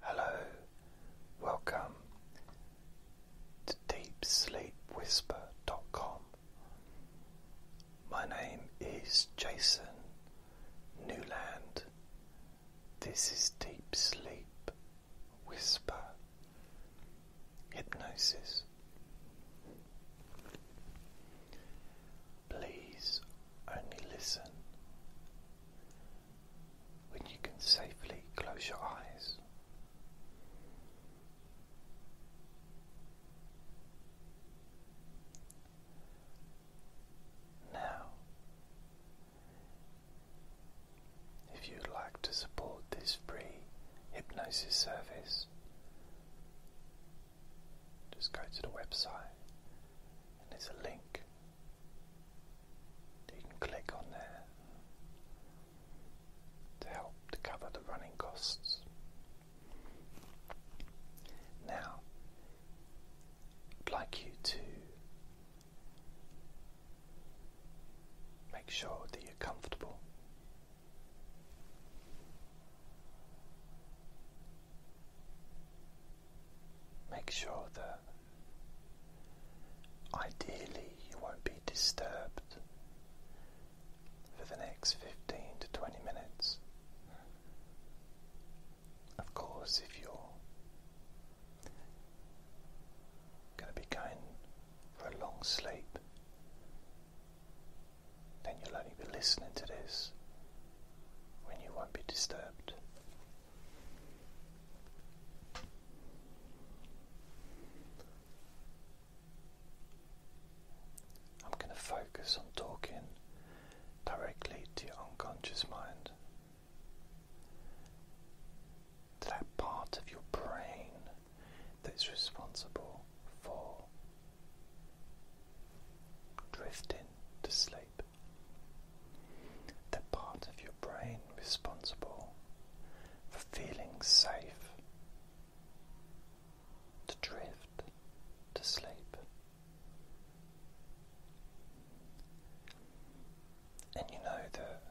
Hello, welcome to DeepSleepWhisper.com. My name is Jason Newland. This is Deep Sleep Whisper Hypnosis. Please only listen when you can safely close your eyes. Now, if you'd like to support this free hypnosis service, just go to the website and there's a link you can click on there to help to cover the running costs. Now, I'd like you to make sure that you're comfortable. Make sure that ideally you won't be disturbed for the next 15 to 20 minutes. Of course, if you're going to be going for a long sleep, then you'll only be listening to this when you won't be disturbed. I'm going to focus on talking directly to your unconscious mind, to that part of your brain that's responsible for drifting to sleep the part of your brain responsible for feeling safe to drift to sleep. And you know that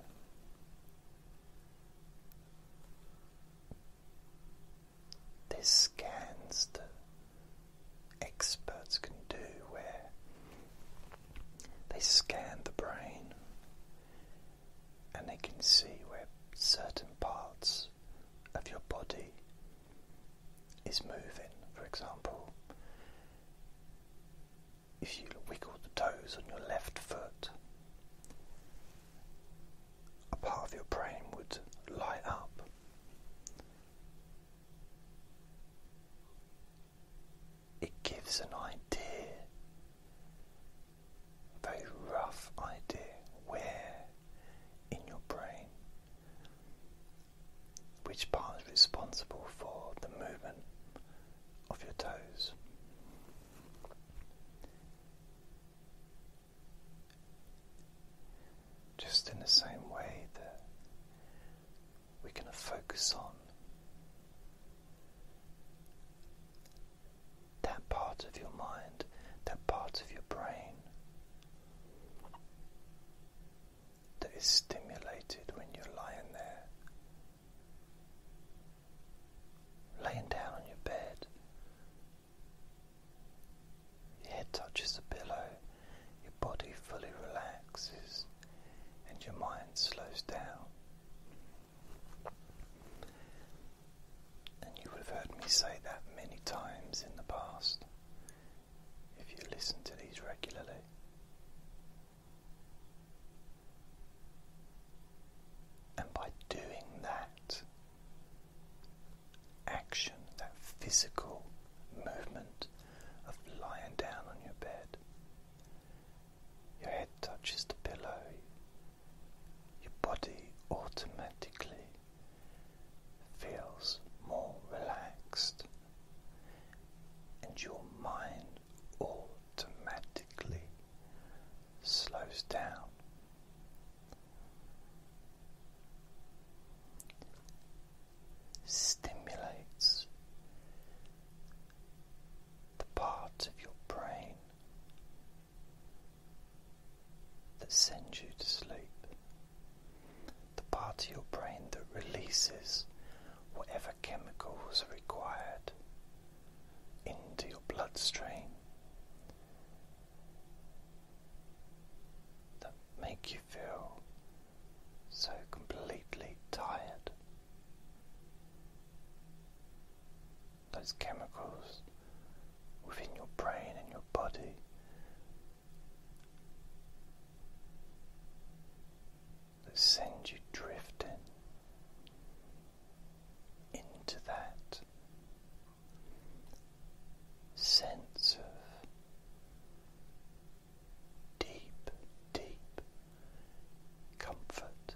this scans that experts can do where they scan the brain and they can see where certain parts of your body is moving. For example, if you wiggle the toes on your left foot, a part of your brain would light up. It gives an idea, a very rough idea, where in your brain which part is responsible for the movement of your toes. Just in the same way that we're going to focus on that part of your mind, that part of your brain that is stimulated when you're lying there. Laying down on your bed, your head touches the pillow, your body fully relaxes, and your mind slows down. And you would have heard me say that many times in the past if you listen to these regularly. And by doing that, action, that physical movement of lying down on your bed. Your head touches the pillow, your body automatically feels more relaxed, and your mind automatically slows down stimulates the part of your brain that sends you to sleep, the part of your brain that releases whatever chemicals are required into your bloodstream that make you feel so completely tired. Those chemicals within your brain and your body that send you drifting into that sense of deep, deep comfort.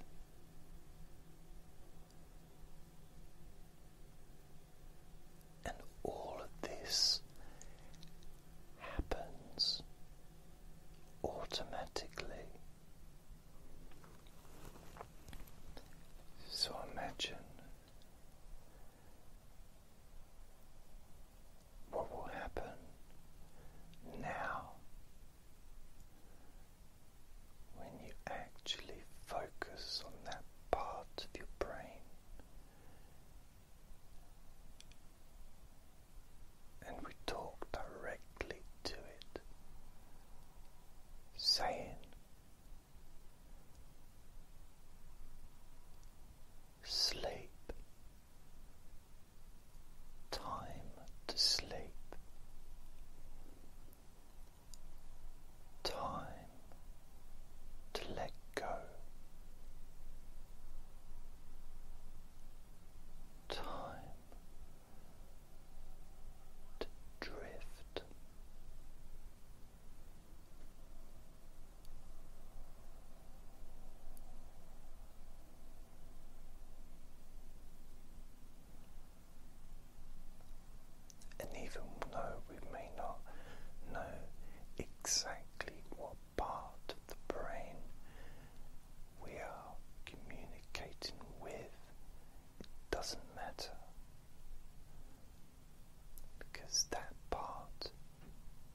And all of this happens automatically. So imagine what will happen now when you actually focus on that part of your brain and we talk directly to it, saying Sleep, time to sleep, time to let go, time to drift. And even though we may not know exactly what part of the brain we are communicating with, it doesn't matter because that part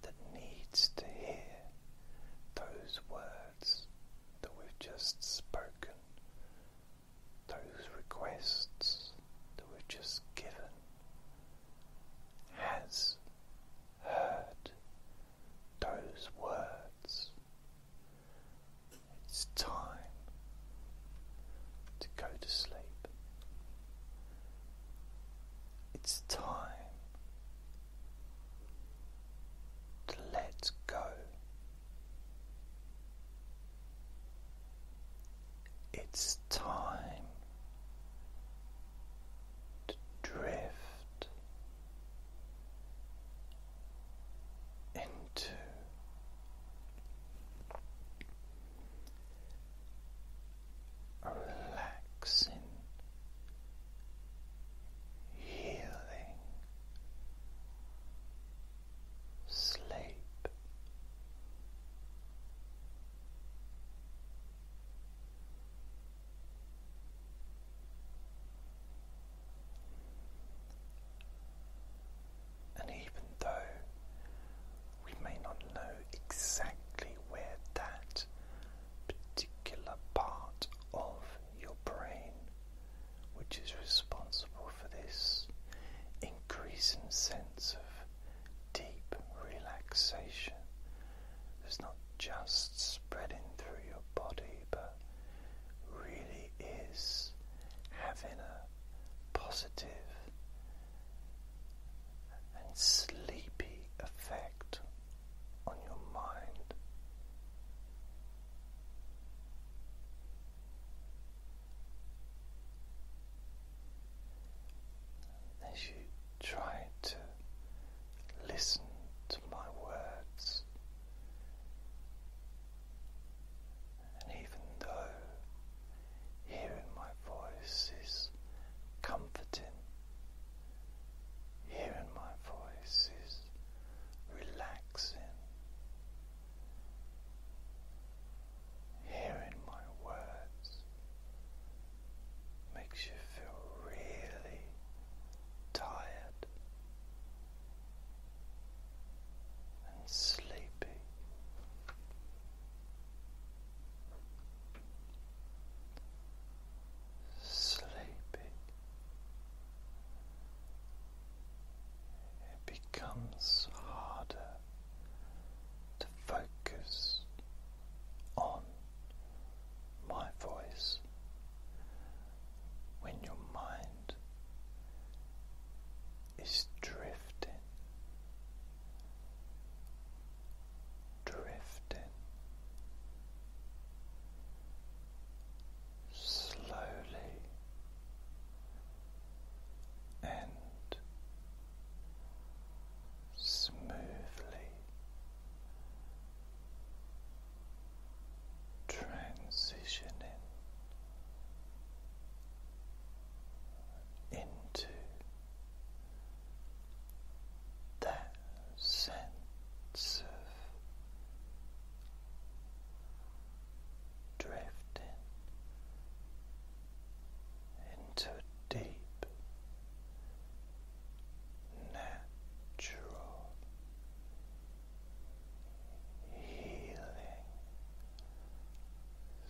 that needs to hear those words that we've just spoken, those requests that we've just given, has heard those words. It's time to go to sleep. It's time to let go. It's time to drift into relaxing, healing sleep. And even though we may not know exactly where that particular part of your brain, which is responsible for this increasing sense of deep relaxation, is not just spreading through your body, but really is having a positive and sleepy effect on your mind. As you try to listen to my words and even though hearing my voice is comforting, hearing my voice is relaxing, hearing my words makes you feel really tired and sleepy. Sleepy. It becomes harder to focus on my voice when your mind is drifting drifting slowly and smoothly transitioning into that sense of drifting into deep, natural healing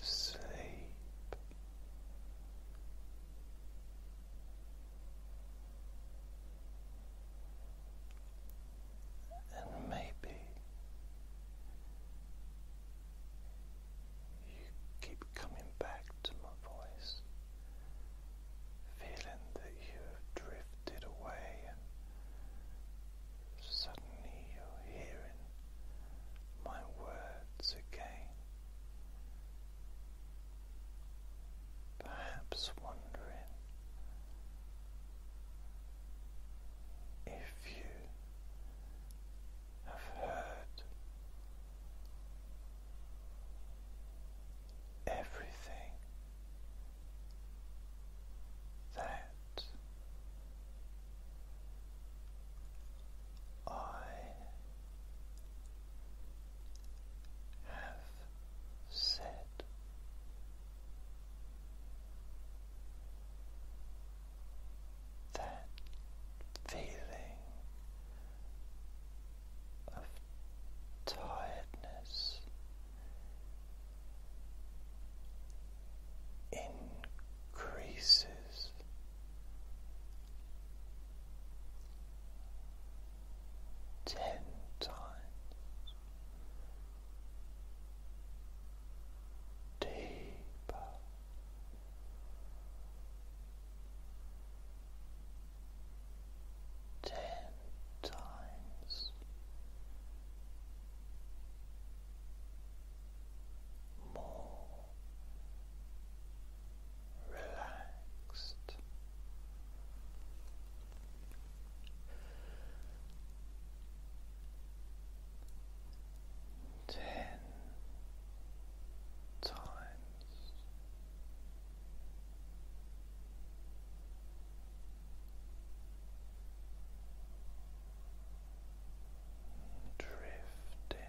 sleep. And maybe you keep coming back to my voice, feeling that you have drifted away Suddenly you're hearing my words again, perhaps wondering if you have heard everything that I have said. That feeling of tiredness increases. Ten times deeper, ten times more relaxed. Ten times Drifting. Drifting.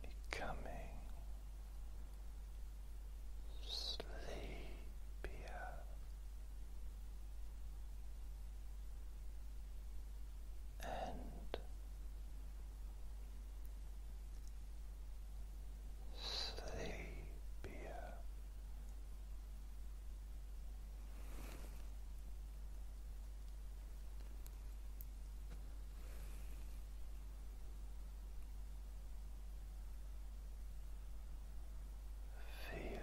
Becoming sleepier. And sleepier feeling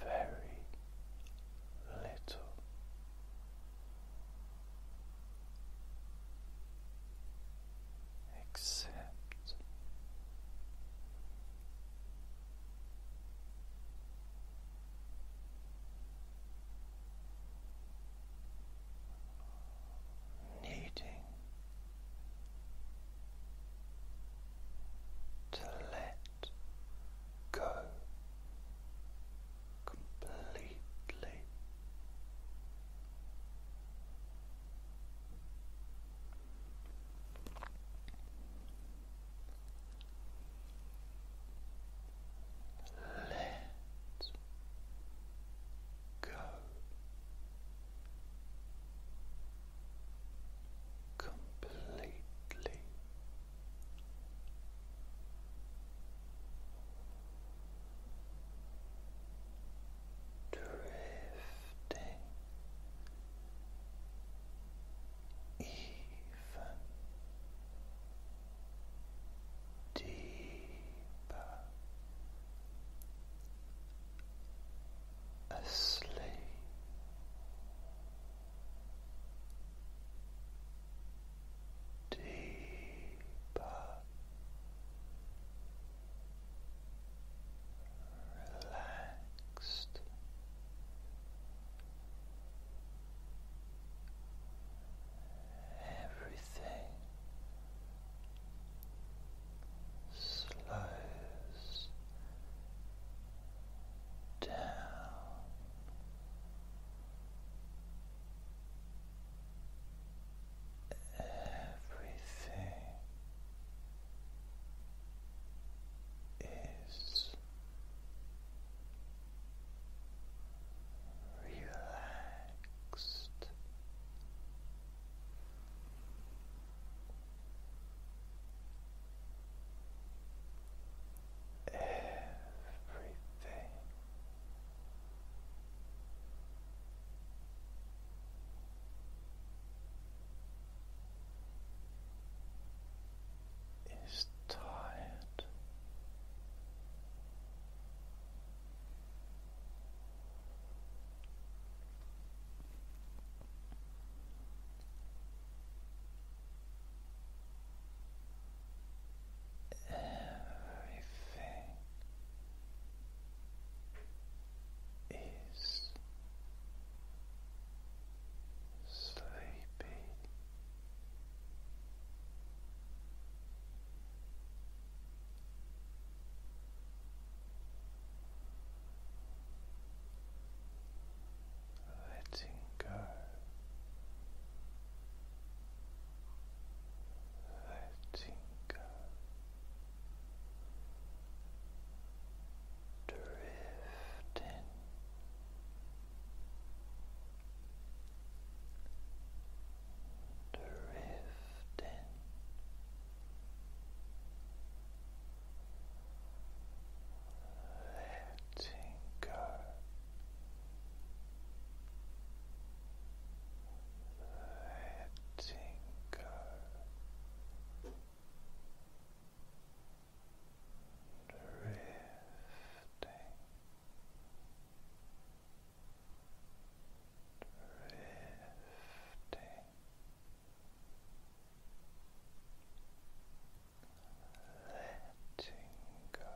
very little. Except needing to let go completely. Let go. Completely drifting even deeper asleep. Deeper relaxed, everything slows down. Everything is relaxed. Everything is tired. Everything is sleepy. Letting go, letting go, drifting drifting letting go letting go drifting drifting letting go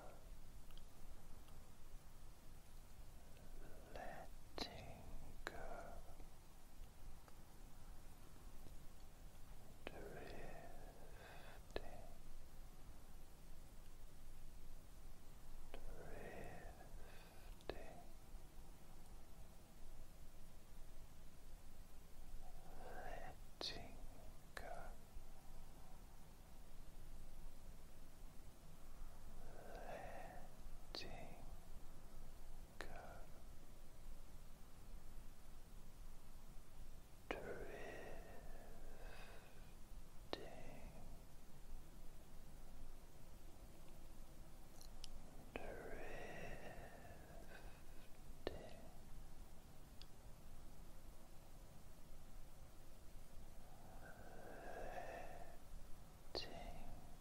letting go drifting, drifting. Letting go, letting Drifting Drifting Letting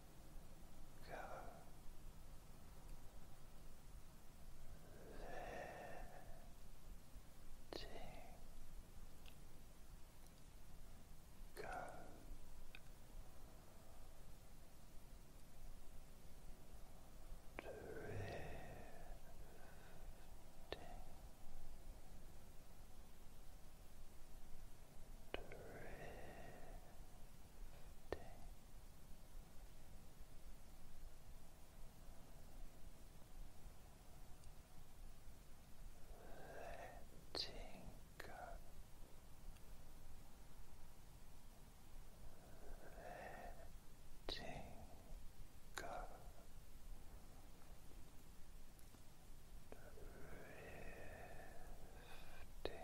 go letting go drifting Drifting, Letting go. Letting go. Drifting